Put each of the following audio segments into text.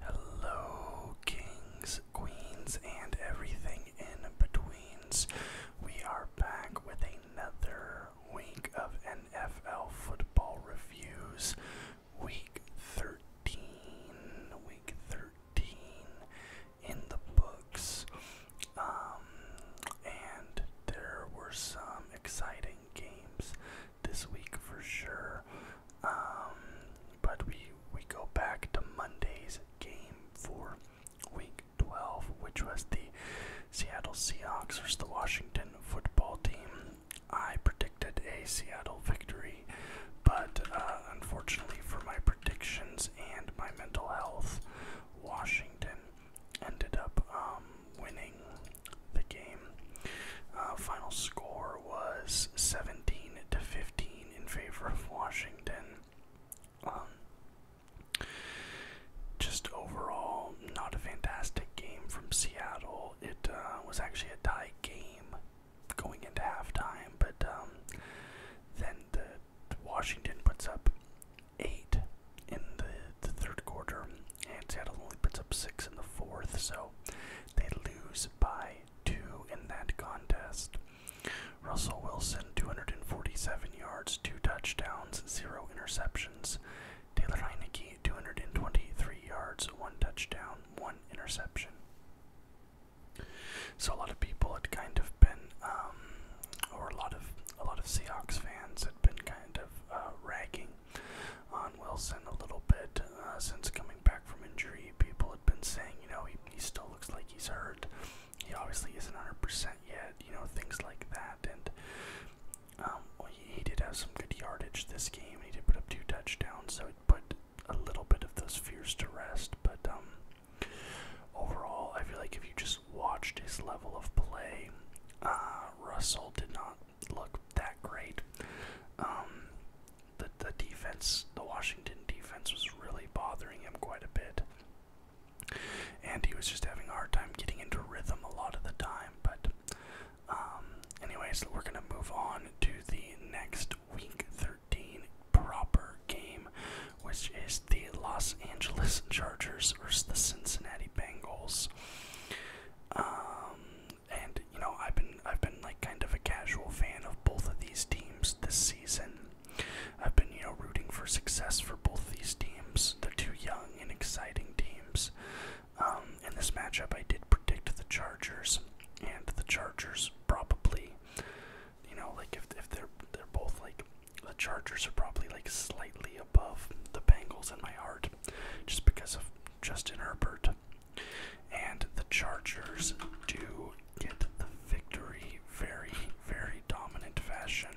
Hello, kings, queens, and everything in betweens. We are back with another week of NFL football reviews. Week 13. Week 13 in the books. Um, and there were some exciting games this week for sure. Um, but we we go back to Monday's game for week 12, which was the Seattle Seahawks versus the Washington football team. I predicted a Seattle victory, but uh, unfortunately for my predictions and my mental health, Washington ended up um, winning the game. Uh, final score was 17 to 15 in favor of Washington. Um, just overall, not a fantastic game from Seattle. It uh, was actually a tie game going into halftime, but um, then the Washington puts up eight in the, the third quarter, and Seattle only puts up six in the fourth. So they lose by two in that contest. Russell Wilson, 247 yards, two touchdowns, zero interceptions. Taylor Heineke, 223 yards, one touchdown, one interception. So a lot of people had kind of been, um, or a lot of a lot of Seahawks fans had been kind of uh, ragging on Wilson a little bit uh, since coming back from injury. People have been saying, you know, he, he still looks like he's hurt. He obviously isn't 100% yet, you know, things like that. And um, well, he, he did have some good yardage this game. He did put up two touchdowns, so it put a little bit of those fears to rest. But um, overall, I feel like if you just watched his level of play, uh, Russell did not look that great. Um, the the defense, the Washington defense, was really bothering him quite a bit, and he was just having a hard time getting into rhythm a lot of the time. But, um, anyways, we're gonna move on to the next week thirteen proper game, which is the Los Angeles Chargers versus the Cincinnati Bengals. Um, and you know I've been I've been like kind of a casual fan of both of these teams this season. I've been you know rooting for success for both these teams. They're two young and exciting teams. Um, in this matchup, I did predict the Chargers, and the Chargers probably, you know, like if if they're they're both like the Chargers are probably like slightly above the Bengals in my heart, just because of Justin Herbert and the Chargers do get the victory very, very dominant fashion.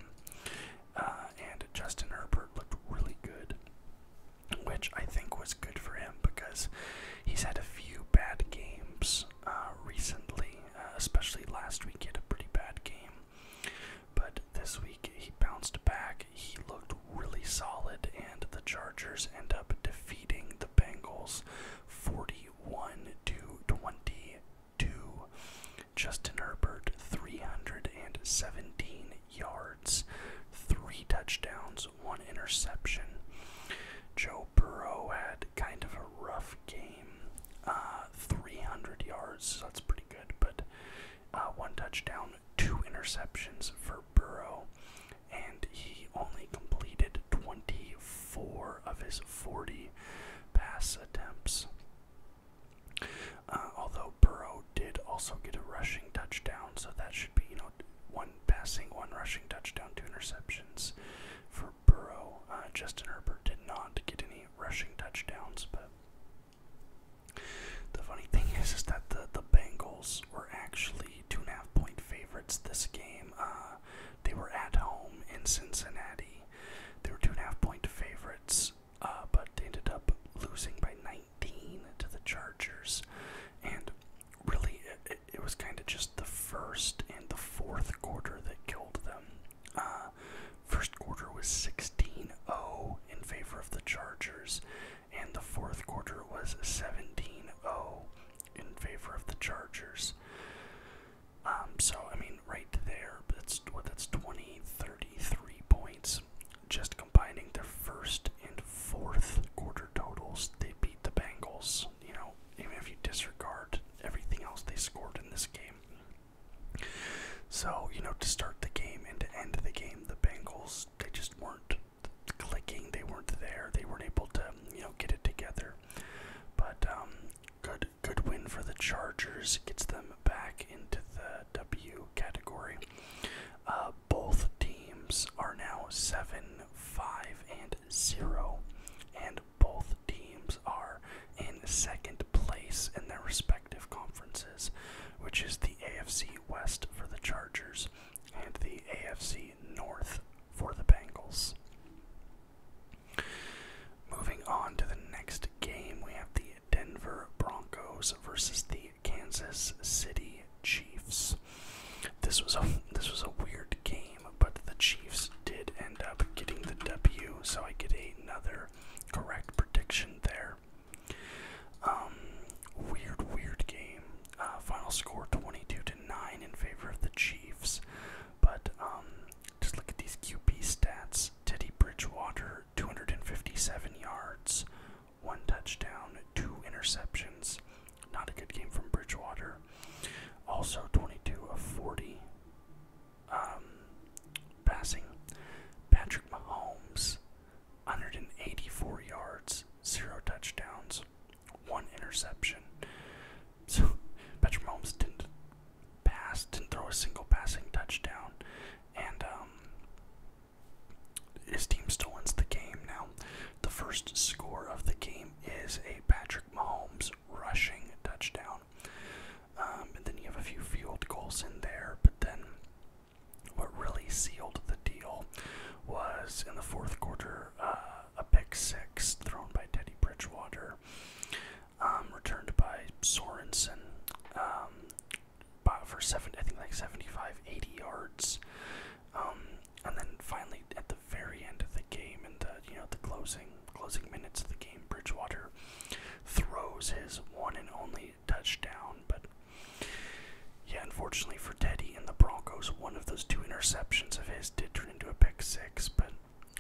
Uh, and Justin Herbert looked really good, which I think was good for him because he's had a few bad games uh, recently, uh, especially last week he had a pretty bad game. But this week he bounced back he looked really solid, and the Chargers end up defeating the Bengals 41 to 22. Justin Herbert, 317 yards, three touchdowns, one interception. Joe Burrow had kind of a rough game, uh, 300 yards, so that's pretty good, but uh, one touchdown, two interceptions for Burrow and he only completed 24 of his 40 pass attempts. Uh, although Burrow did also get a rushing touchdown, so that should be, you know, one passing, one rushing touchdown, two interceptions for Burrow. Uh, Justin Herbert did not get any rushing touchdowns, but the funny thing is, is that the the Bengals were actually two and a half point favorites this game. Uh, they were at home in Cincinnati. They were two and a half point favorites, uh, but they ended up losing by 19 to the Chargers. And really, it, was kind of just the first and the fourth quarter that killed them. Uh, first quarter was 16 0 in favor of the Chargers and the fourth quarter was 17 0 in favor of the Chargers. Um, so, I mean, right there, that's, well, that's 20, 33 points. Just combining their first and fourth quarter totals, they beat the Bengals. You know, even if you disregard everything else they scored in this game. So, you know, to start the game and to end the game, the Bengals, they just weren't clicking. They weren't there. They weren't able to, you know, get it together. But um, good, good win for the Chargers. Gets them back into the W category. Uh, both teams are now seven, five, and zero, and both teams are in second place in their respective conferences, which is the AFC West for the Chargers and the AFC North for the Bengals. Moving on to the next game, we have the Denver Broncos versus the Kansas City Chiefs. This was a this was a weird game, but the Chiefs did end up getting the W, so I get another correct prediction there. Um, weird, weird game. Uh, final score 22 to 9 in favor of the Chiefs. But um, just look at these QB stats Teddy Bridgewater, 257 yards, one touchdown, two interceptions. Not a good game from Bridgewater. Also 22 of 40 um, passing. Patrick Mahomes, 184 yards, zero touchdowns, one interception. So Patrick Mahomes didn't pass, didn't throw a single passing touchdown, and um, his team still wins the game. Now, the first score of the game is a Patrick Mahomes rushing touchdown, um, and then you have a few field goals in there, but then what really sealed the deal was in the fourth quarter uh, a pick six thrown by Teddy Bridgewater, um, returned by Sorensen um, for seven, I think like 75, 80 yards. Um, and then finally at the very end of the game, in the you know the closing closing minutes of the game, Bridgewater throws his one and only touchdown, but yeah, unfortunately for Teddy and the Broncos, one of those two interceptions of his did turn into a pick six, but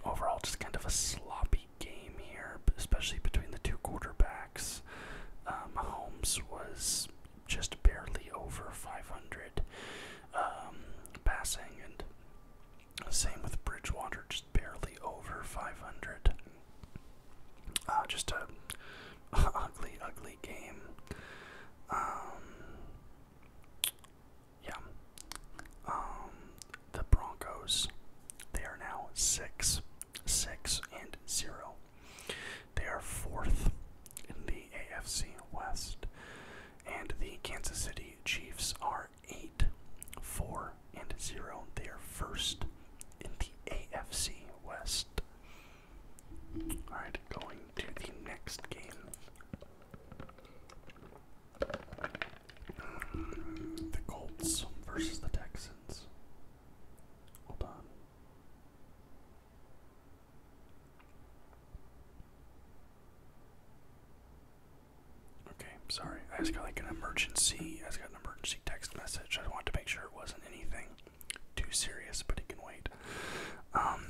overall, just kind of a sloppy game here, especially between the two quarterbacks. Uh, Holmes was just barely over 500 um, passing, and same with Bridgewater, just barely over 500. Uh, just a ugly, ugly game. Um, yeah. Um, the Broncos. They are now six, six and zero. They are fourth in the AFC West, and the Kansas City Chiefs are eight, four and zero. They are first in the AFC West. Alright, going to the next game. Mm, the Colts versus the Texans. Hold on. Okay, sorry. I just got like an emergency. I got an emergency text message. I want to make sure it wasn't anything too serious, but he can wait. Um,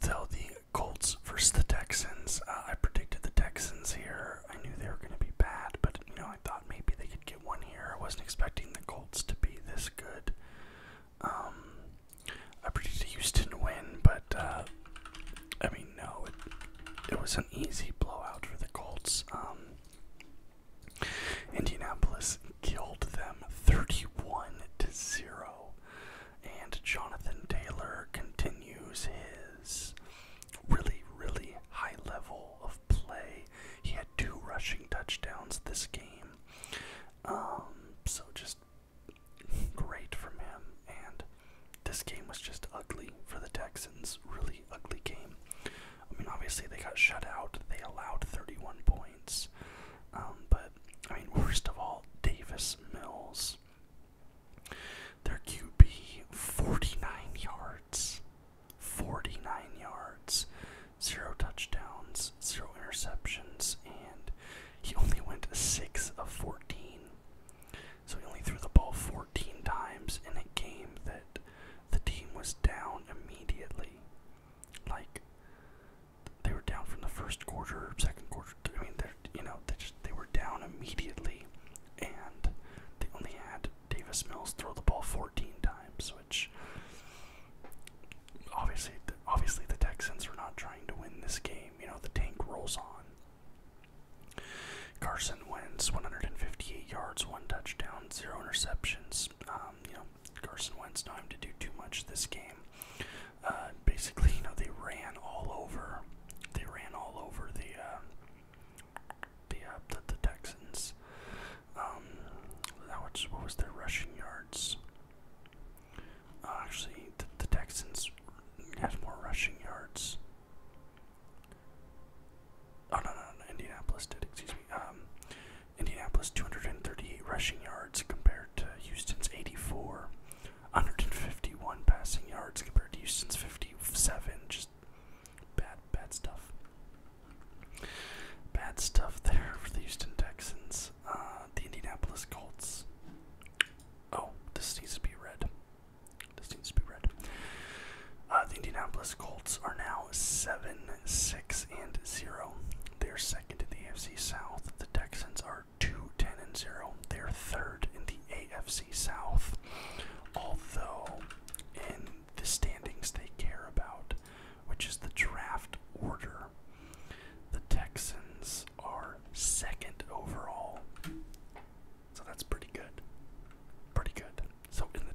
the Colts versus the Texans. Uh, I predicted the Texans here. I knew they were going to be bad, but you know I thought maybe they could get one here. I wasn't expecting the Colts to be this good. Um, I predicted Houston to win, but uh, I mean no, it, was an easy blowout for the Colts. Um, Indianapolis killed them 31 to 0. And Jonathan Taylor continues his really, really high level of play. He had two rushing touchdowns this game. Um, so just great from him. And this game was just ugly for the Texans. Really ugly game. I mean, obviously they got shut out. They allowed 31 points. Um, but, I mean, worst of all, Davis Mills. Their QB, 49 yards. 49 yards. Zero touchdowns, zero interceptions, and he only went 6 of 14. So he only threw the ball 14 times in a game that the team was down immediately. Like they were down from the first quarter, second quarter. I mean, they're you know they they were down immediately, and they only had Davis Mills throw the ball 14 times, which obviously obviously the Texans are not trying to win this game. You know the tank rolls on. Carson wins 158 yards, one touchdown, zero interceptions. Um, you know Carson Wentz time to do too much this game. Uh, basically, you know, they ran all over. They ran all over the uh, the, uh, the the Texans. Um, that was, what was their rushing yards? actually, the Texans had more rushing yards. Oh no, no, Indianapolis did. Excuse me. Um, Indianapolis 238 rushing yards compared to Houston's 84, 151 passing yards compared to Houston's 57. Just bad, bad stuff. Bad stuff there for the Houston Texans. Uh, the Indianapolis Colts. Oh, this needs to be red. This needs to be red. Uh, the Indianapolis Colts are now 7 6 six and zero. They're second in the AFC South. The Texans are two ten and zero. They're third in the AFC South. Although in the standings they care about, which is the draft order. The Texans are second overall. So that's pretty good. Pretty good. So in the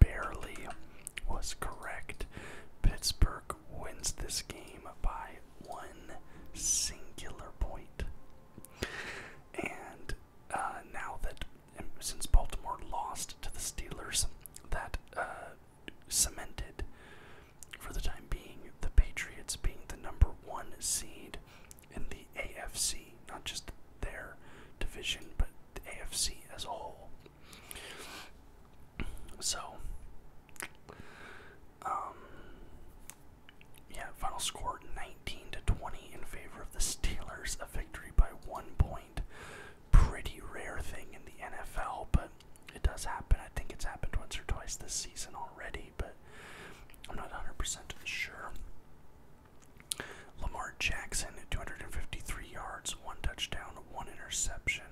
barely was correct. Pittsburgh wins this game by one singular And uh, now that, since Baltimore lost to the Steelers, that uh, cemented, for the time being, the Patriots being the number one seed in the AFC, not just their division, but AFC as a whole. So, um, yeah, final score 19 to 20 in favor of the Steelers, a victory by one point. Pretty rare thing in the NFL, but it does happen. I think it's happened once or twice this season already, but I'm not 100% sure. Lamar Jackson, 253 yards, one touchdown, one interception.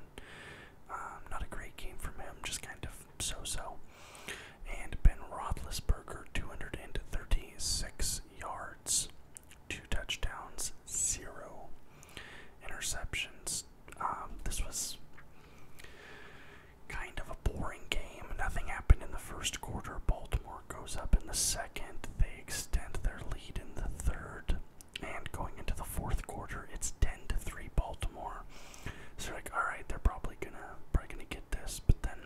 Um, not a great game from him, just kind of so-so. And Ben Roethlisberger, 236 yards, two touchdowns, zero interceptions. Um, this was kind of a boring game. Nothing happened in the first quarter. Baltimore Baltimore goes up in the second. They extend their lead in the third. And going into the fourth quarter, it's 10 to 3 Baltimore. So like, all right, they're probably gonna probably gonna get this. But then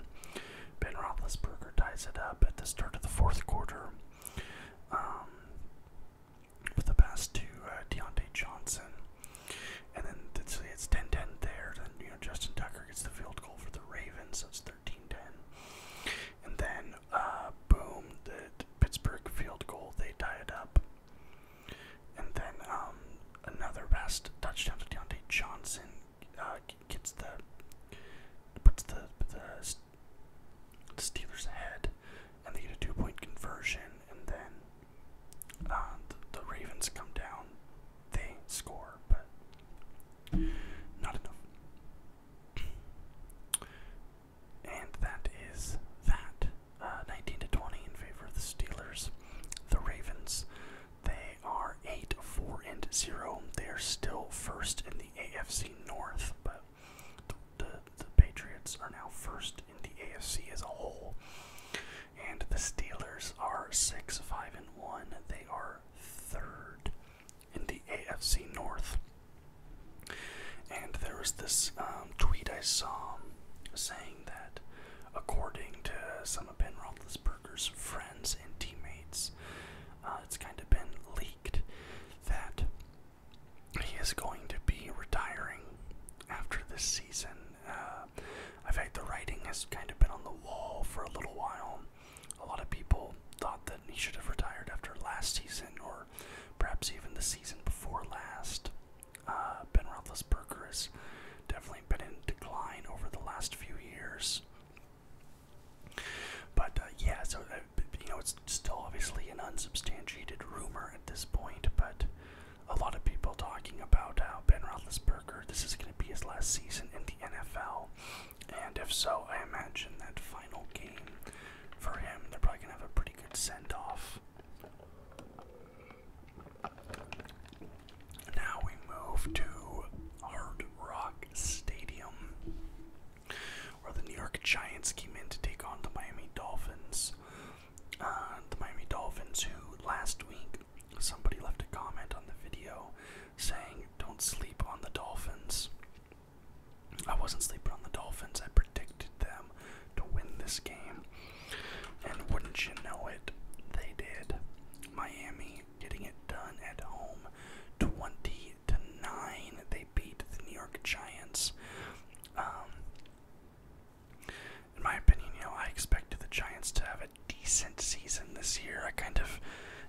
Ben Roethlisberger ties it up at the start of the fourth quarter. Um, with a pass to uh, Deontay Johnson, and then it's, it's 10-10 there. Then you know Justin Tucker gets the field goal for the Ravens, so it's 13-10 and then uh, boom, the Pittsburgh field goal, they tie it up. And then um, another best touchdown to Deontay Johnson uh, gets the puts the, the Steelers ahead, and they get a two-point conversion. And then uh, the, the Ravens come down, they score, but not enough. And that is that. Uh, 19 to 20 in favor of the Steelers. The Ravens, they are 8, 4, and 0. They are still first in the AFC North, but the Patriots are now first in the AFC as a whole. And the Steelers are 6, 5, and 1. They are third in the AFC North. And there was this um, tweet I saw saying that, according to some of Ben Roethlisberger's friends and teammates, uh, it's kind of been leaked that he is going to be retiring after this season. I uh, in fact, the writing has kind of been on the wall for a little while a lot of people thought that he should have retired after last season, or perhaps even the season before last. Uh, ben Roethlisberger has definitely been in decline over the last few years. But uh, yeah, so uh, you know, it's still obviously an unsubstantiated rumor at this point, but a lot of people talking about how Ben Roethlisberger, this is going to be his last season in the NFL. And if so, I imagine that final game for him, they're probably going to have a pretty good send off. Now we move to Hard Rock Stadium, where the New York Giants came in to take on the Miami Dolphins. Uh, the Miami Dolphins, who last week somebody left a comment on the video saying, Don't sleep on the Dolphins. I wasn't sleeping on the Dolphins. I predicted them to win this game. And wouldn't you know it, they did. Miami getting it done at home 20 to 9. They beat the New York Giants. Um, in my opinion, you know, I expected the Giants to have a decent season this year. I kind of,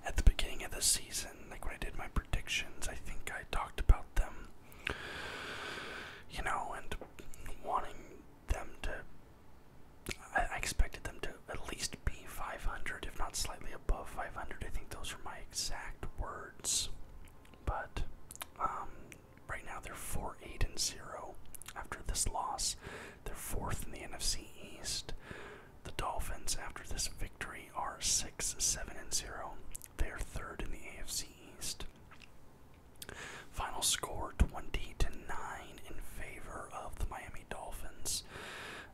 at the beginning of the season, like when I did my predictions, I think I talked about them, you know, and wanting them to. I expected them to at least be 500, if not slightly above 500. I think those were my exact words. But um, right now they're 4 8 and 0 after this loss. They're fourth in the NFC East. The Dolphins, after this victory, are 6 7 and 0. They are third in the AFC East. Final score 20 to 9 in favor of the Miami Dolphins.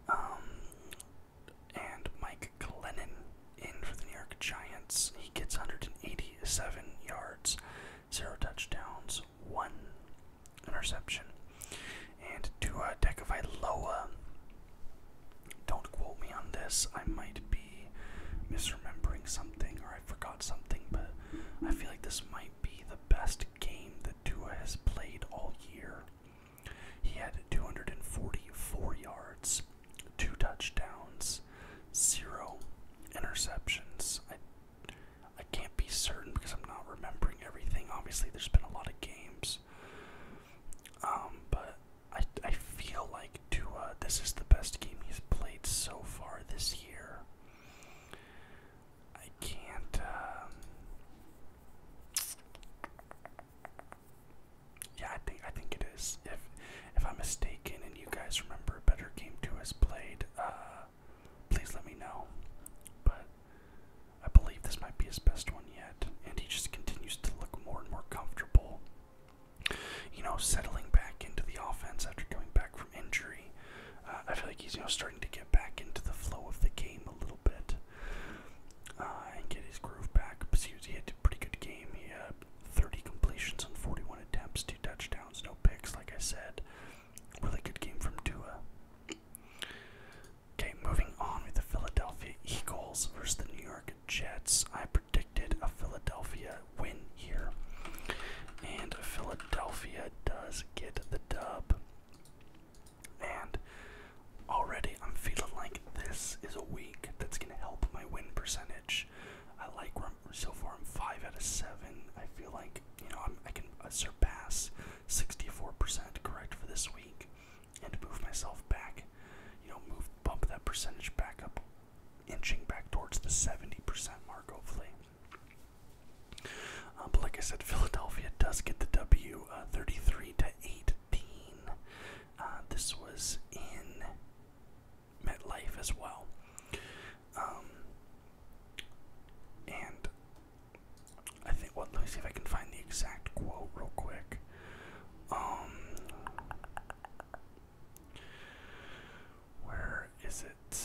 Um, and Mike Glennon in for the New York Giants. He gets 187 yards, 0 touchdowns, 1 interception. And to uh, a Don't quote me on this. I might be misremembering something or I forgot something, but I feel like this might be the best game that Dua has played all year. He had 244 yards, two touchdowns, zero interceptions. I can't be certain because I'm not remembering everything. Obviously, there's been a lot of games. Um, but I, I feel like Tua, this is the best game he's played so far this year. I can't. Um, yeah, I think I think it is. If if I'm mistaken and you guys remember a better game Tua has played, uh, please let me know. But I believe this might be his best one yet, and he just continues to look more and more comfortable. You know, settling back into the offense after coming back from injury. Uh, I feel like he's you know starting to get back into the flow of the game a little bit uh, and get his groove back. But he, was, he had a pretty good game. He had 30 completions on 41 attempts, two touchdowns, no picks. Like I said, really good game from Dua. Okay, moving on with the Philadelphia Eagles versus the New York Jets. I predicted a Philadelphia win here, and Philadelphia does get the dub. And already I'm feeling like this is a week that's going to help my win percentage. I like so far I'm 5 out of 7. I feel like, you know, I'm, I can surpass 64% correct for this week and to move myself back, you know, move bump that percentage back up, inching back towards the 70% mark, hopefully. Uh, but like I said, Philadelphia does get the W, uh, 33 to 18. Uh, this was in MetLife as well, um, and I think, well, let me see if I can find the exact quote real quick. Um, where is it?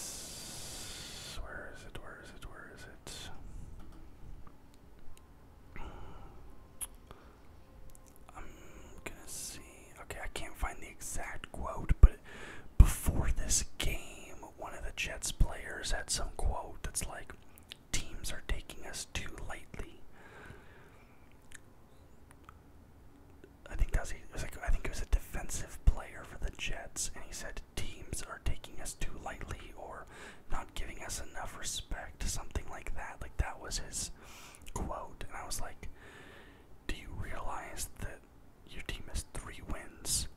Where is it? Where is it? Where is it? I'm gonna see. Okay, I can't find the exact quote, but before this game, one of the Jets players had some quote that's like, teams are taking us too lightly. I think that was, was like I think it was a defensive player for the Jets, and he said teams are taking us too lightly or not giving us enough respect, something like that. Like that was his quote, and I was like, "Do you realize that your team has three wins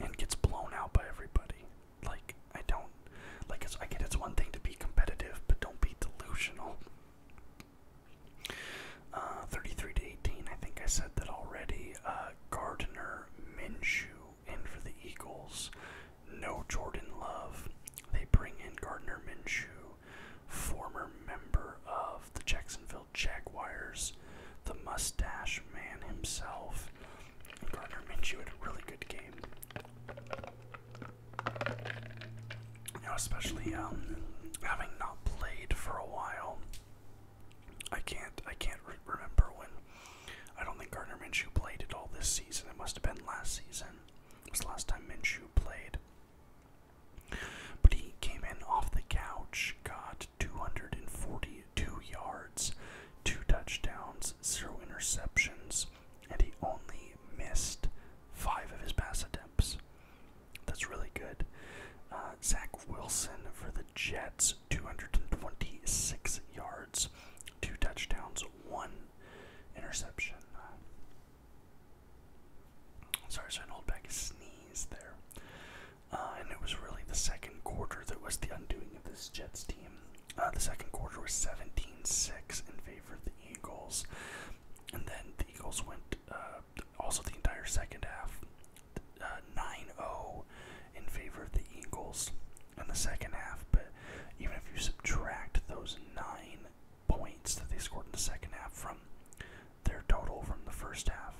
and gets blown out by everybody. Like I don't like it's I get it's one thing to be competitive, but don't be delusional. Uh, 33 to 18, I think I said that already. Uh, Gardner Minshew in for the Eagles. No Jordan Love. They bring in Gardner Minshew, former member of the Jacksonville Jaguars, the mustache man himself. Gardner Minshew had a really good game. You know, especially um, having not played for a while, I can't I can't remember when. I don't think Gardner Minshew played at all this season. It must have been last season. It was the last time Minshew played. But he came in off the couch, got 240 Two yards, 2 touchdowns, 0 interceptions, and he only missed 5 of his pass attempts. That's really good. Uh, Zach Wilson for the Jets, 226 yards, 2 touchdowns, 1 interception. Sorry, so I hold back a sneeze there. Uh, and it was really the second quarter that was the undoing of this Jets team. Uh, the second quarter was 17-6 in favor of the Eagles, and then the Eagles went uh, also the entire second half 9-0 uh, in favor of the Eagles in the second half. But even if you subtract those nine points that they scored in the second half from their total from the first half,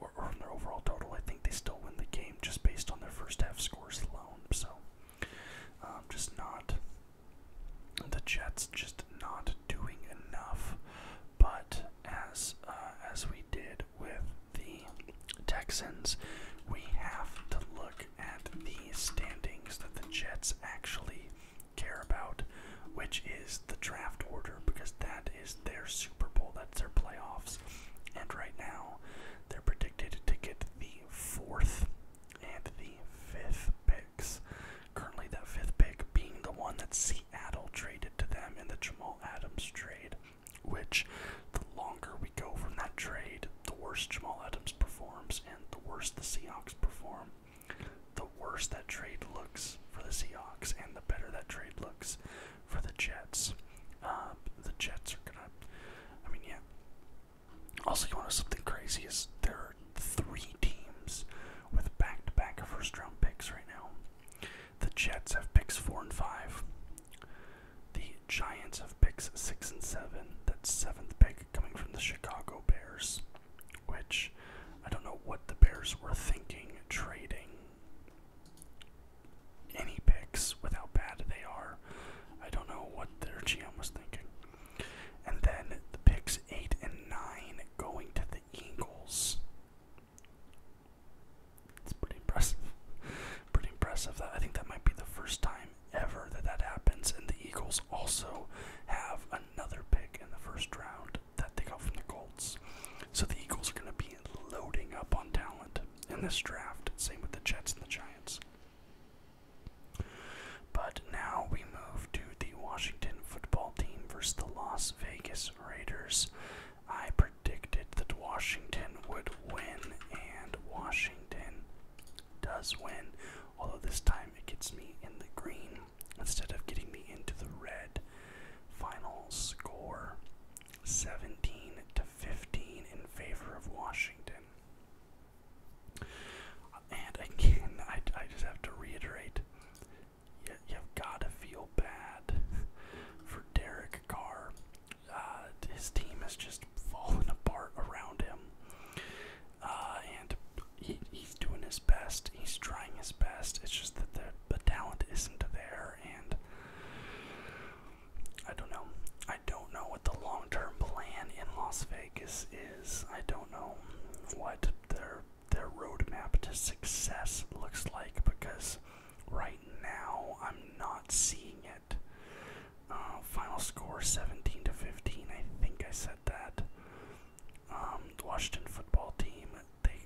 or from their overall total, I think they still win the game just based on their first half scores alone. So, um, just not the Jets just not doing enough. But as uh, as we did with the Texans, we have to look at the standings that the Jets actually care about, which is the draft order because that is their Super Bowl, that's their playoffs. And right now, they're predicted to get the fourth and the fifth picks. Currently, that fifth pick being the one that Seattle traded to them in the Jamal Adams trade, which the longer we go from that trade, the worse Jamal Adams performs and the worse the Seahawks perform. The worse that trade looks for the Seahawks and the better that trade looks for the Jets. Um, the Jets are gonna. I mean, yeah. Also, you want to something crazy? Is there are three teams with back-to-back -back first round picks right now. The Jets have picks four and five. The Giants have picks six and seven. That seventh pick coming from the Chicago Bears, which I don't know what the Bears were thinking trading any picks with how bad they are. I don't know what their GM was thinking. And then the picks 8 and 9 going to the Eagles. It's pretty impressive. pretty impressive. That I think that might be the first time ever that that happens. And the Eagles also have another pick in the first round that they got from the Colts. So the Eagles are going to be loading up on talent in this draft. Same with the Jets and the Giants. But now we move to the Washington football team versus the Las Vegas Raiders. I predicted that Washington would win, and Washington does win, although this time it gets me in the green instead of getting me into the red. Final score 17 to 15 in favor of Washington. And again, I, I just have to reiterate you, you've got to feel bad for Derek Carr. Uh, his team has just fallen apart around him. Uh, and he, he's doing his best, he's trying his best. It's just that the, the talent isn't there, and I don't know. I don't know what the long term plan in Las Vegas is. I don't know what their their roadmap to success looks like because right now I'm not seeing it. Uh, final score 17 to 15. I think I said that. Um, the Washington football team they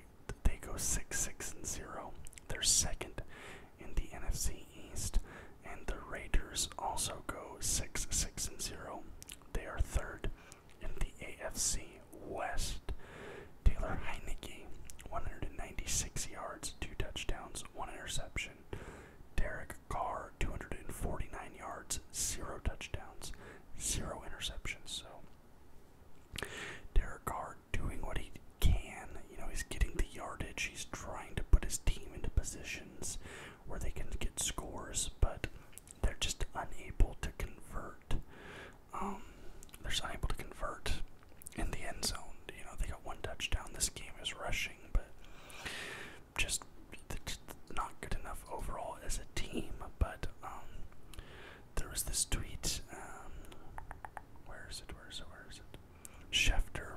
they go six six and zero. They're second in the NFC East, and the Raiders also go 6 6 and 0. They are third in the AFC West. Taylor Heineke, 196 yards, 2 touchdowns, 1 interception. Derek Carr, 249 yards, 0 touchdowns, 0 interceptions. So, Derek Carr doing what he can. You know, he's getting the yardage, he's trying to put his team into positions where they can get scores, but they're just unable to convert. Um, they're just unable to convert in the end zone. You know, they got one touchdown. This game is rushing, but just, not good enough overall as a team. But um, there was this tweet. Um, where is it? Where is it? Where is it? Schefter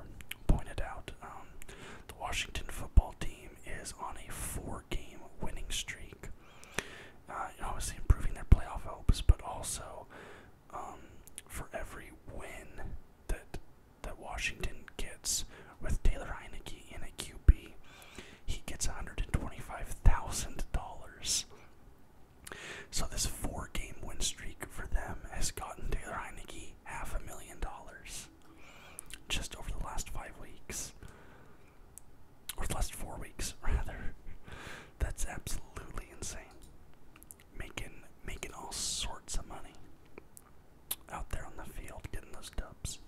pointed out um, the Washington football team is on a four game winning streak. Uh, obviously, improving their playoff hopes, but also um, for every win that that Washington gets with Taylor Heineke in a QB, he gets $125,000. So this four-game win streak for them has gotten Taylor Heineke half a million dollars just over the last five weeks, or the last four weeks rather. That's absolutely insane. Making making all sorts of money out there on the field, getting those dubs.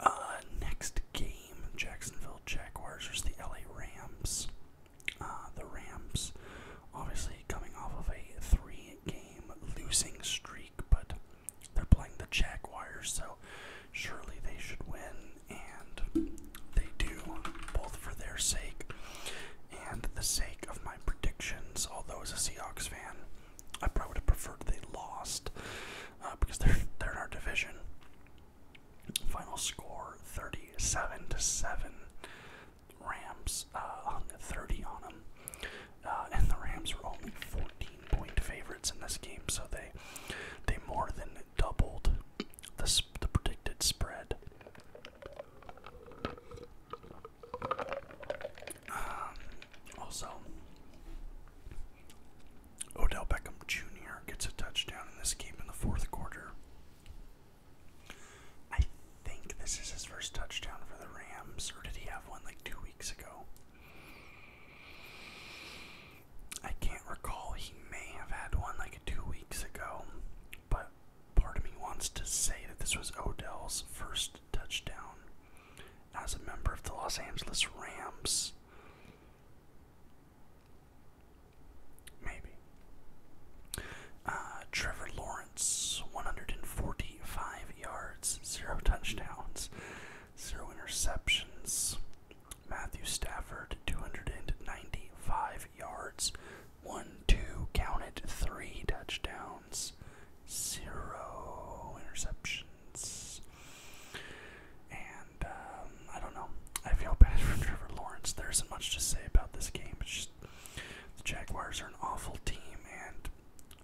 Uh, next game, Jacksonville Jaguars versus the LA Rams. Uh, the Rams, obviously coming off of a three-game losing streak, but they're playing the Jaguars, so surely they should win, and they do, both for their sake and the sake of my predictions. Although as a Seahawks fan, I probably would have preferred they lost uh, because they're they're in our division. Final score: thirty-seven to seven. Rams uh, hung 30 on them, uh, and the Rams were only 14 point favorites in this game, so they they more than doubled the, the predicted spread. Um, also, Odell Beckham Jr. gets a touchdown in this game in the fourth quarter. I think this is his first touchdown for the Rams, or did he have one like two weeks ago? I can't recall. He may have had one like two weeks ago, but part of me wants to say that this was Odell's first touchdown as a member of the Los Angeles Rams. Maybe. Uh, Trevor Lawrence, 145 yards, zero touchdowns, zero interceptions. Matthew Stafford, 295 yards, one, two, counted, three touchdowns, zero interceptions. And um, I don't know. I feel bad for Trevor Lawrence. There isn't much to say about this game. It's just the Jaguars are an awful team, and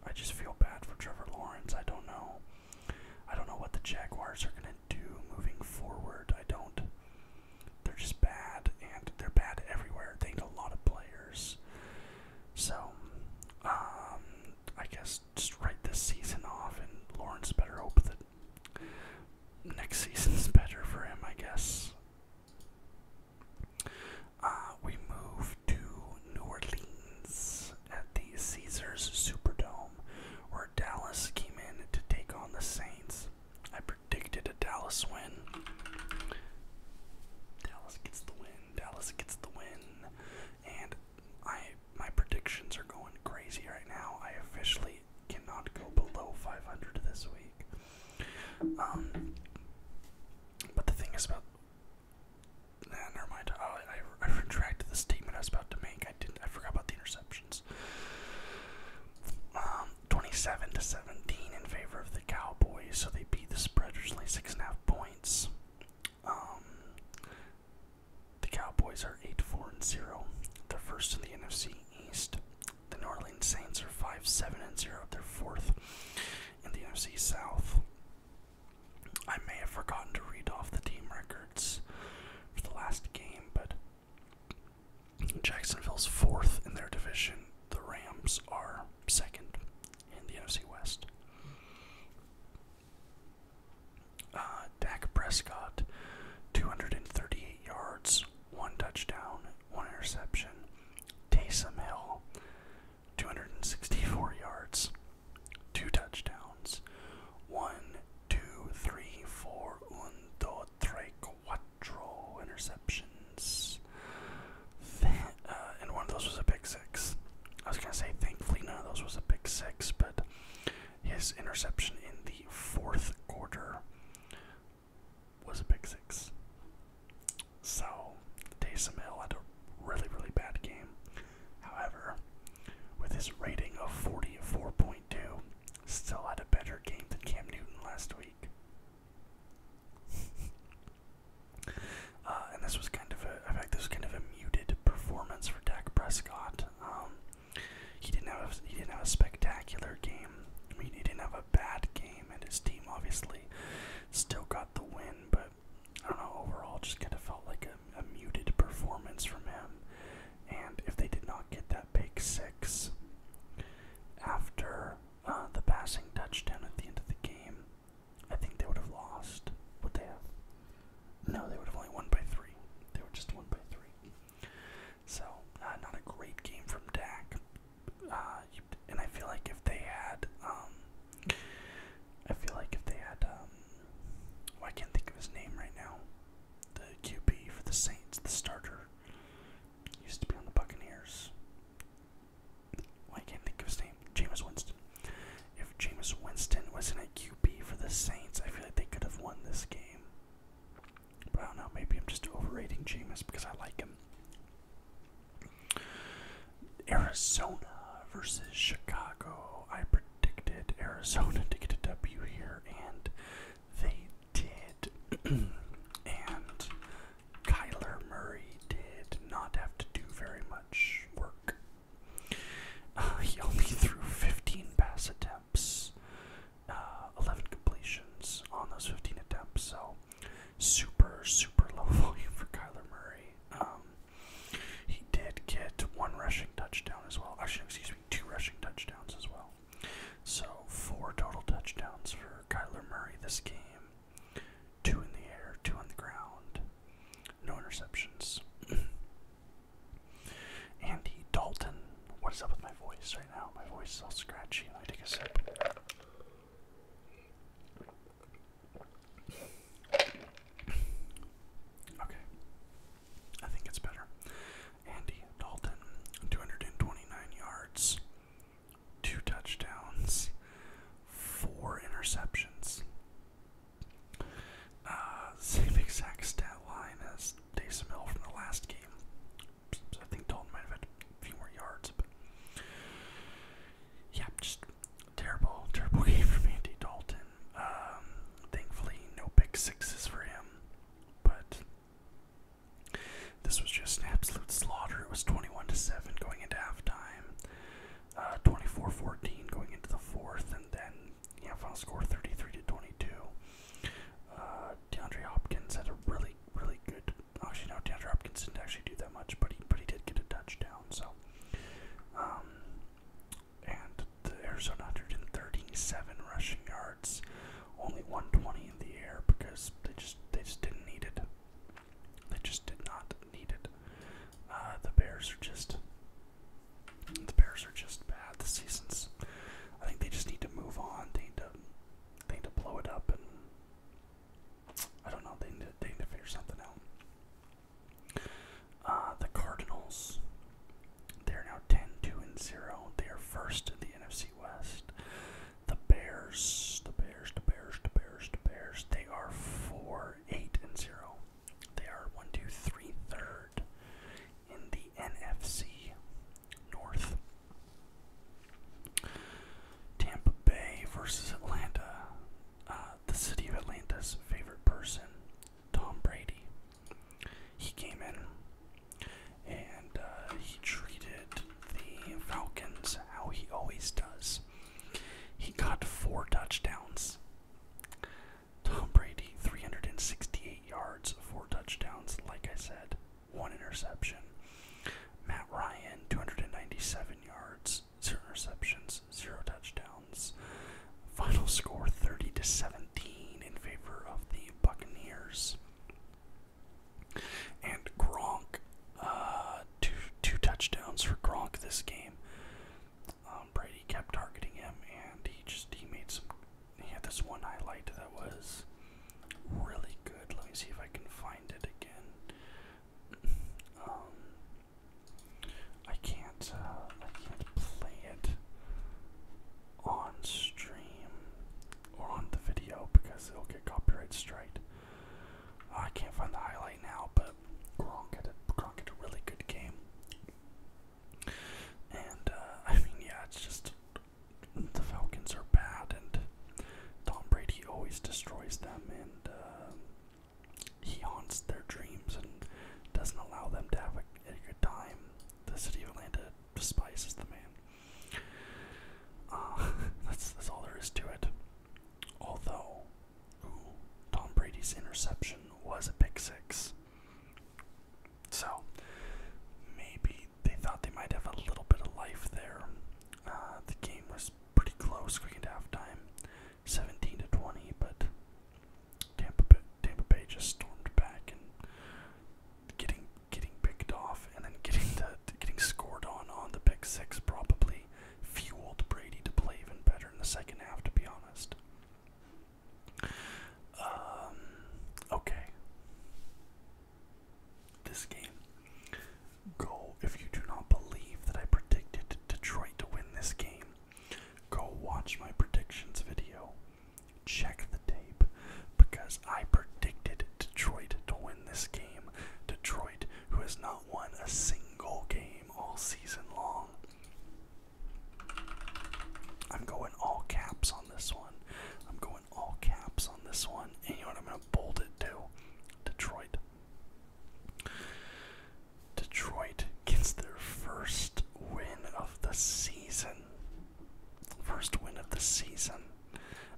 I just feel bad for Trevor Lawrence. I don't know. I don't know what the Jaguars are gonna do moving forward. I don't. They're just bad, and they're bad everywhere. They need a lot of players. So, um, I guess just write this season off, and Lawrence better hope that next season's better for him. I guess. Uh, we move to New Orleans at the Caesars Superdome, where Dallas came in to take on the Saints. I predicted a Dallas win. Dallas gets the win. Dallas gets the win, and I my predictions are going crazy right now. I officially we cannot go below 500 this week. Um, but the thing is about. never mind. Oh, I, I retracted the statement I was about to make. I didn't. I forgot about the interceptions. Um, 27 to 17 in favor of the Cowboys, so they beat the Spreaders which only six and a half points. Um, the Cowboys are 8 4 and 0. They're first in the NFC East. The New Orleans Saints are 5 7 and 0. They're fourth in the NFC South. I may have forgotten to read off the team records for the last game, but Jacksonville's fourth in their division. The Rams are second in the NFC West. Uh, Dak Prescott, 238 yards, one touchdown, one interception. Taysom Hill, 264 yards, two touchdowns. One, two, three, four, un, dos, tres, cuatro interceptions. Uh, and one of those was a big six. I was going to say, thankfully, none of those was a big six, but his interception in the fourth quarter was a pick six. So Taysom Hill had a really, really bad game. However, with his rating of 44.2, still had a better game than Cam Newton last week. Uh, and this was kind of a, in fact, this was kind of a muted performance for Dak Prescott. Um, he didn't have he didn't have a spectacular game. I mean, he didn't have a bad game, and his team obviously still got the win. But I don't know. Overall, just kind of felt like a, muted performance from him. And if they did not get that big six after uh, the passing touchdown at the end of the game, I think they would have lost. What they have? No, they would have only won by three. They were just one by three. So uh, not a great game from Dak. Uh, and I feel like if they had, um, I feel like if they had, um, oh, I can't think of his name right now. The QB for the Saints, the starter, used to be on the Buccaneers. I can't think of his name. Jameis Winston. If Jameis Winston wasn't a QB for the Saints, I feel like they could have won this game. I don't know, maybe I'm just overrating Jameis because I like him. Arizona versus Chicago. I predicted Arizona to get a W here, and they did. and Kyler Murray did not have to do very much work. he only threw 15 pass attempts uh, 11 completions on those 15 attempts. So super, super low volume for Kyler Murray. Um, he did get one rushing touchdown as well. Actually, excuse me, two rushing touchdowns as well. So four total touchdowns for Kyler Murray this game. Two in the air, two on the ground, no interceptions. Andy Dalton, what is up with my voice? now. My voice is all scratchy and I take a sip. Okay. I think it's better. Andy Dalton, 229 yards, two touchdowns, four interceptions. Uh, same exact stat line as Taysom Hill from the last game. I think Dalton might have had a few more yards, but yeah, just terrible, terrible game for Andy Dalton. Um, thankfully, no pick sixes for him, but this was just an absolute slaughter. It was 21 to 7 going into halftime, uh, 24 14 going into the fourth, and then, yeah, final score 33 to 22. Uh, DeAndre Hopkins had a really really, good. Actually, no, DeAndre Hopkins didn't actually do that much, but he, but he did get a touchdown. So, um, and the Arizona 137 rushing yards, only 120 in the air because they just they just didn't need it. They just did not need it. Uh, the Bears are just the Bears are just bad. The season's. I think they just need to move on. They need to they need to blow it up and I don't know. They need to, they need to figure something out. Uh, the Cardinals. They're now 10, 2, and 0. They are first in the NFC West. The Bears, the Bears, the Bears, the Bears, the Bears. They are 4, 8, and 0. They are 1, 2, 3, third in the NFC. North. Tampa Bay versus Atlanta. Uh, the city of Atlanta's favorite person, Tom Brady. He came in and uh, he treated the Falcons how he always does. He got four touchdowns. Tom Brady, 368 yards, four touchdowns, like I said one interception. Matt Ryan, 297 yards, zero interceptions, zero touchdowns. Final score 30 to 17 in favor of the Buccaneers. And Gronk, uh, two two touchdowns for Gronk this game. Um, Brady kept targeting him, and he just he made some he had this one highlight that was really good. Let me see if I can find it again. Um, I can't. Uh, I can't play it on stream or on the video because it'll get copyright strike. I can't find the highlight now, but Gronk had a Gronk had a really good game. And uh, I mean, yeah, it's just the Falcons are bad, and Tom Brady always destroys them, and uh, he haunts their dreams and doesn't allow them to have a, good time. The city of Atlanta despises the man. Uh, that's that's all there is to it. Although, ooh, Tom Brady's interception was a pick six. So, maybe they thought they might have a little bit of life there. Uh, the game was pretty close going into halftime, 17 to 20, but Tampa Bay, just stormed back and getting getting picked off and then getting the getting scored on on the pick six probably fueled Brady to play even better in the second half. To be honest. Um, okay this game. Go, if you do not believe that I predicted Detroit to win this game, go watch my predictions video. Check the tape because I predicted Detroit to win this game. Detroit, who has not won a single game all season long. I'm going all caps on this one. I'm all caps on this one, and you know what? I'm going to bold it too. Detroit. Detroit gets their first win of the season. First win of the season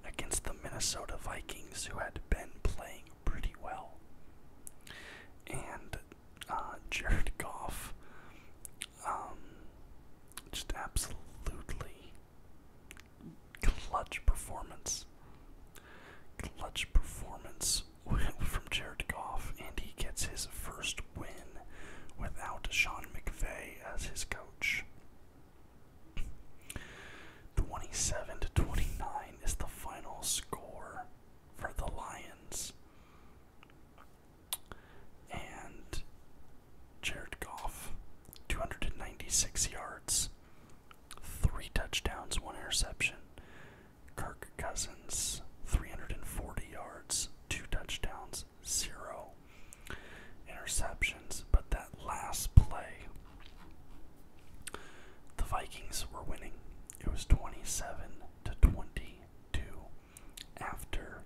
against the Minnesota Vikings, who had been playing pretty well. And uh, Jared Goff um, just absolutely Clutch performance. Clutch performance from Jared Goff, and he gets his first win without Sean McVay as his coach. 27 to 29 is the final score for the Lions. And Jared Goff, 296 yards, three touchdowns, one interception. Kirk Cousins, 340 yards, two touchdowns, zero interceptions. But that last play, the Vikings were winning. It was 27 to 22 after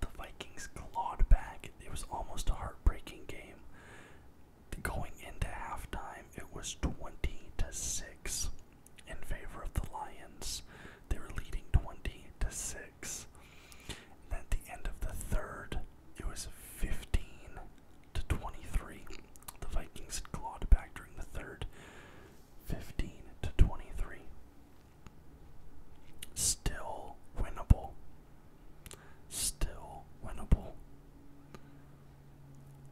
the Vikings clawed back. It was almost a heartbreaking game. Going into halftime, it was 20 to 6 in favor of the Lions. They were leading 20 to 6. And at the end of the third, it was 15 to 23. The Vikings clawed back during the third. 15 to 23. Still winnable. Still winnable.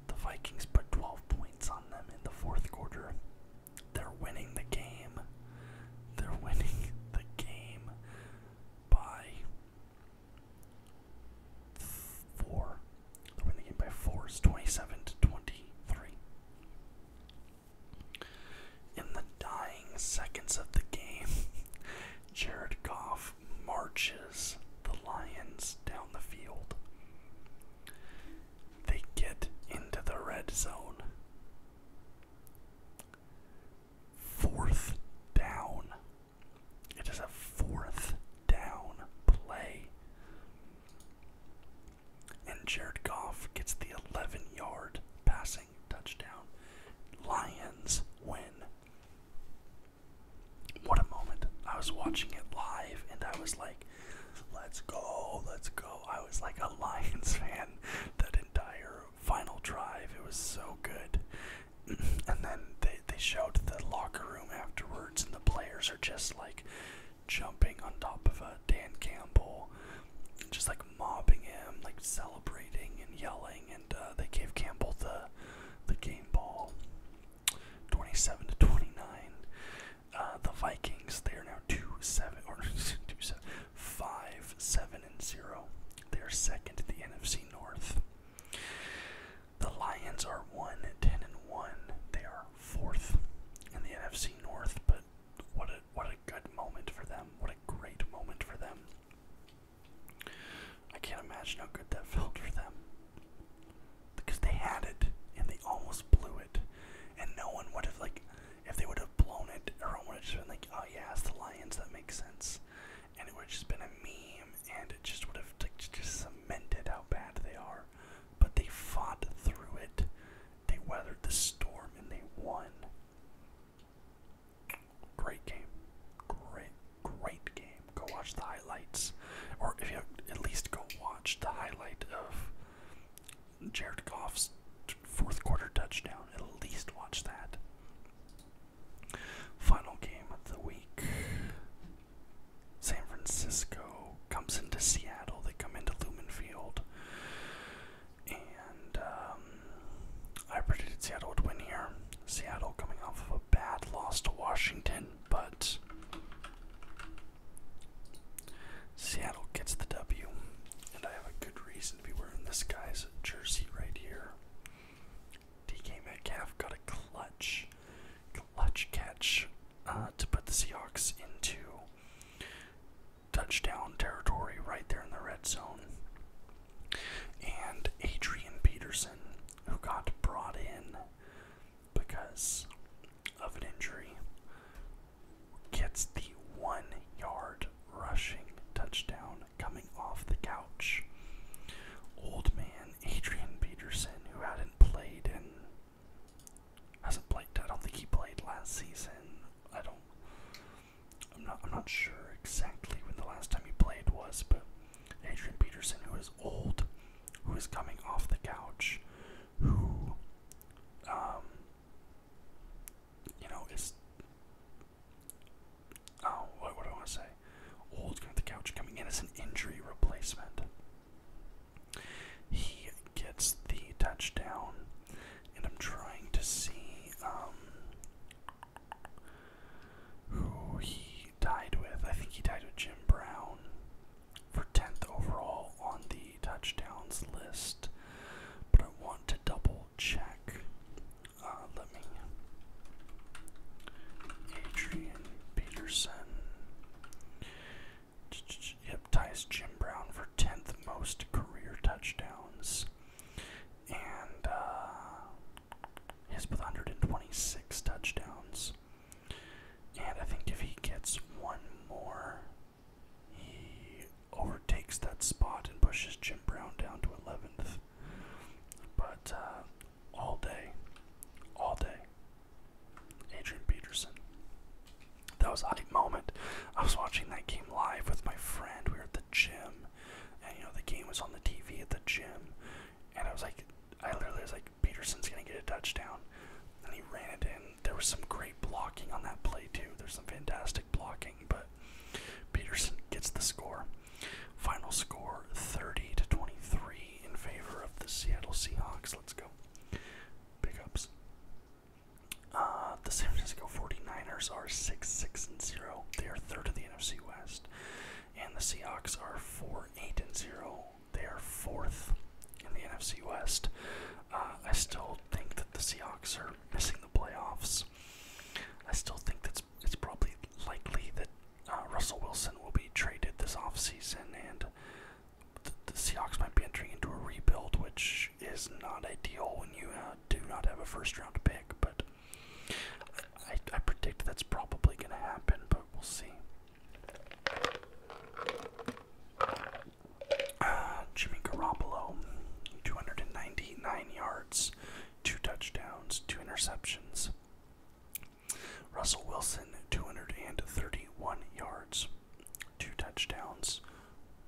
The Vikings put 12 points on them in the fourth quarter. They're winning the game. They're winning the game by four. They're winning the game by four. It's 27 to 23. In the dying seconds of the game, Jared Goff marches the Lions down the field. They get into the red zone. Fourth down. It is a fourth down play. And Jared Goff gets the 11 yard pass touchdown. Lions win. What a moment. I was watching it live and I was like, let's go, let's go. I was like a Lions fan that entire final drive. It was so good. And then they, they showed the locker room afterwards, and the players are just like jumping on top of a uh, Dan Campbell just like mobbing him, like celebrating and yelling, and uh, they gave Campbell the the game ball, 27 to 29. Uh, the Vikings, they are now two seven or two seven five seven and zero. They are second to the NFC North. The Lions are one ten and one. They are fourth in the NFC North, but what a what a good moment for them. What a great moment for them. I can't imagine how good that felt for them. Because they had it and they almost blew it. And no one would have like if they would have blown it, everyone would have just been like, Oh yeah, it's the Lions, that makes sense. And it would have just been a meme and it just would have like, just cemented how bad they are. But they fought through it. They weathered the storm and they won. Great game. Great, great game. Go watch the highlights. Or if you at least go watch the highlight of Jared Goff's fourth quarter touchdown. At least watch that. Final game of the week. San Francisco comes into Seattle. They come into Lumen Field. And um, I predicted Seattle would win here. Seattle coming off of a bad loss to Washington, but Seattle gets the W. And I have a good reason to be wearing this guy's jersey right here. DK Metcalf got a clutch, clutch catch uh, to put the Seahawks into touchdown territory right there in the red zone. And Adrian Peterson, who got brought in because of an injury, gets the one yard rushing touchdown coming off the couch. Old man Adrian Peterson, who hadn't played in hasn't played I don't think he played last season. I don't I'm not I'm not sure exactly when the last time he played was, but Adrian Peterson, who is old, who is coming off the couch, who um you know is oh what what do I want to say? Old coming off the couch coming in as an injury replacement. He gets the touchdown, and I'm trying to see um who he tied with. I think he died with Jim Brown for 10th overall on the touchdowns list, but I want to double check. Uh, let me. Adrian Peterson. Yep, ties Jim Brown for 10th most career touchdowns and he's uh, with 126 touchdowns. And I think if he gets one more, he overtakes that spot and pushes Jim Brown down to 11th. But uh, all day, all day, Adrian Peterson. That was a hype moment. I was watching that game live with my friend. We were at the gym and you know the game was on the TV at the gym, and I was like, I literally was like, Peterson's gonna get a touchdown, and he ran it in. There was some great blocking on that play too. There's some fantastic blocking, but Peterson gets the score. Final score 30 to 23 in favor of the Seattle Seahawks. Let's go. Pickups. Uh, the San Francisco 49ers are 6 6 and 0. They are third in the NFC West. And the Seahawks are 4 8 and 0. They are fourth in the NFC West. Uh, I still think that the Seahawks are missing the playoffs. I still think that it's probably likely that uh, Russell Wilson will be traded this offseason and the Seahawks might be entering into a rebuild, which is not ideal when you uh, do not have a first round pick, but I, predict that's probably going to happen, but we'll see. Uh, Jimmy Garoppolo, 299 yards, two touchdowns, two interceptions. Russell Wilson, 231 yards, two touchdowns,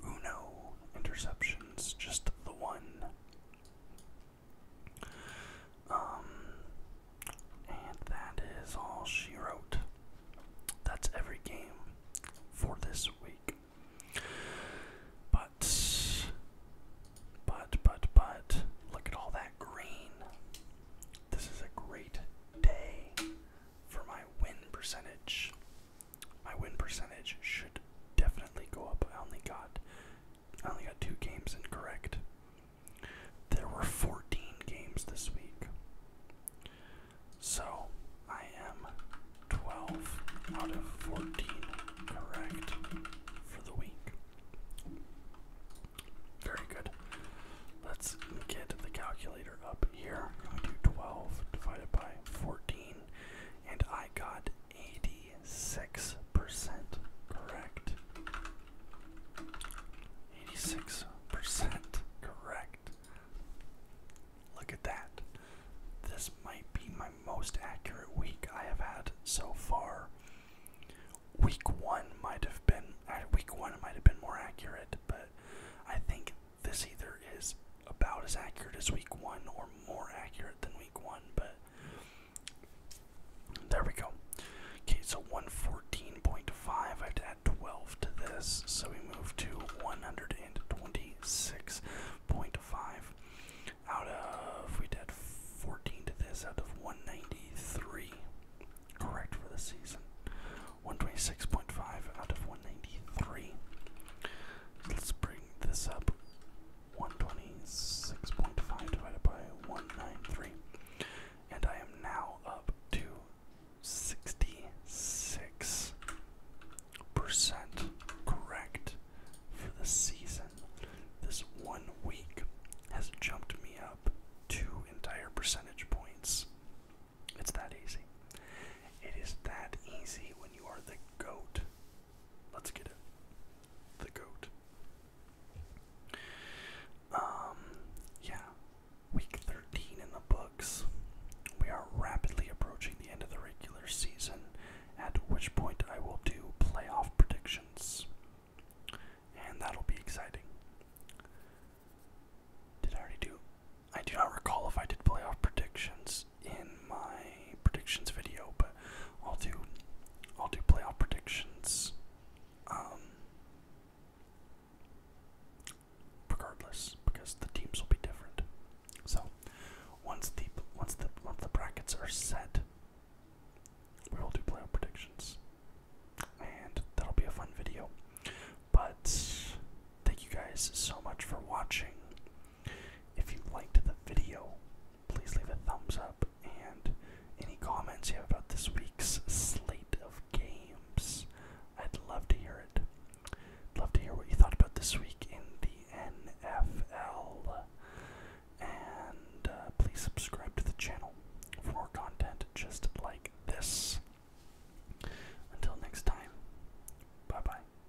Uno interceptions, just the one. Um, and that is all she wrote. That's every game for this week. But, but, but, but, look at all that green. This is a great day for my win percentage my win percentage should definitely go up. I only got I only got two games incorrect. There were 14 games this week. So I am 12 out of 14 correct for the week. Very good. Let's get the calculator up here. I'm going to do 12 divided by 14, and I got 86% correct. 86% correct. Look at that. This might be my most accurate week I have had so far. Week 1 might have been, uh, week 1 might have been more accurate, but I think this either is about as accurate as week one or more accurate than week one, but there we go. Okay, so 114.5, I have to add 12 to this, so we move to 126.5. Out of, we did 14 to this, out of 193, correct for the season. 126.5 out of 193. Let's bring this up. 126.5 divided by 193. And I am now up to 66% correct for the season. This one week has jumped me up two entire percentage points. It's that easy. It is that easy when you are the GOAT Let's get it. The goat. Um, yeah. Week 13 in the books. We are rapidly approaching the end of the regular season, at which point I will do playoff predictions. And that'll be exciting. Did I already do? I do not recall if I did playoff predictions in my predictions video, but I'll do I'll do playoff predictions. Um, regardless, because the teams will be different. So once the once the once the brackets are set, we will do playoff predictions, and that'll be a fun video. But thank you guys so much for watching. If you liked the video, please leave a thumbs up and any comments you have about this week's slate of games. I'd love to hear it. I'd love to hear what you thought about this week in the NFL. And uh, please subscribe to the channel for more content just like this. Until next time, bye bye.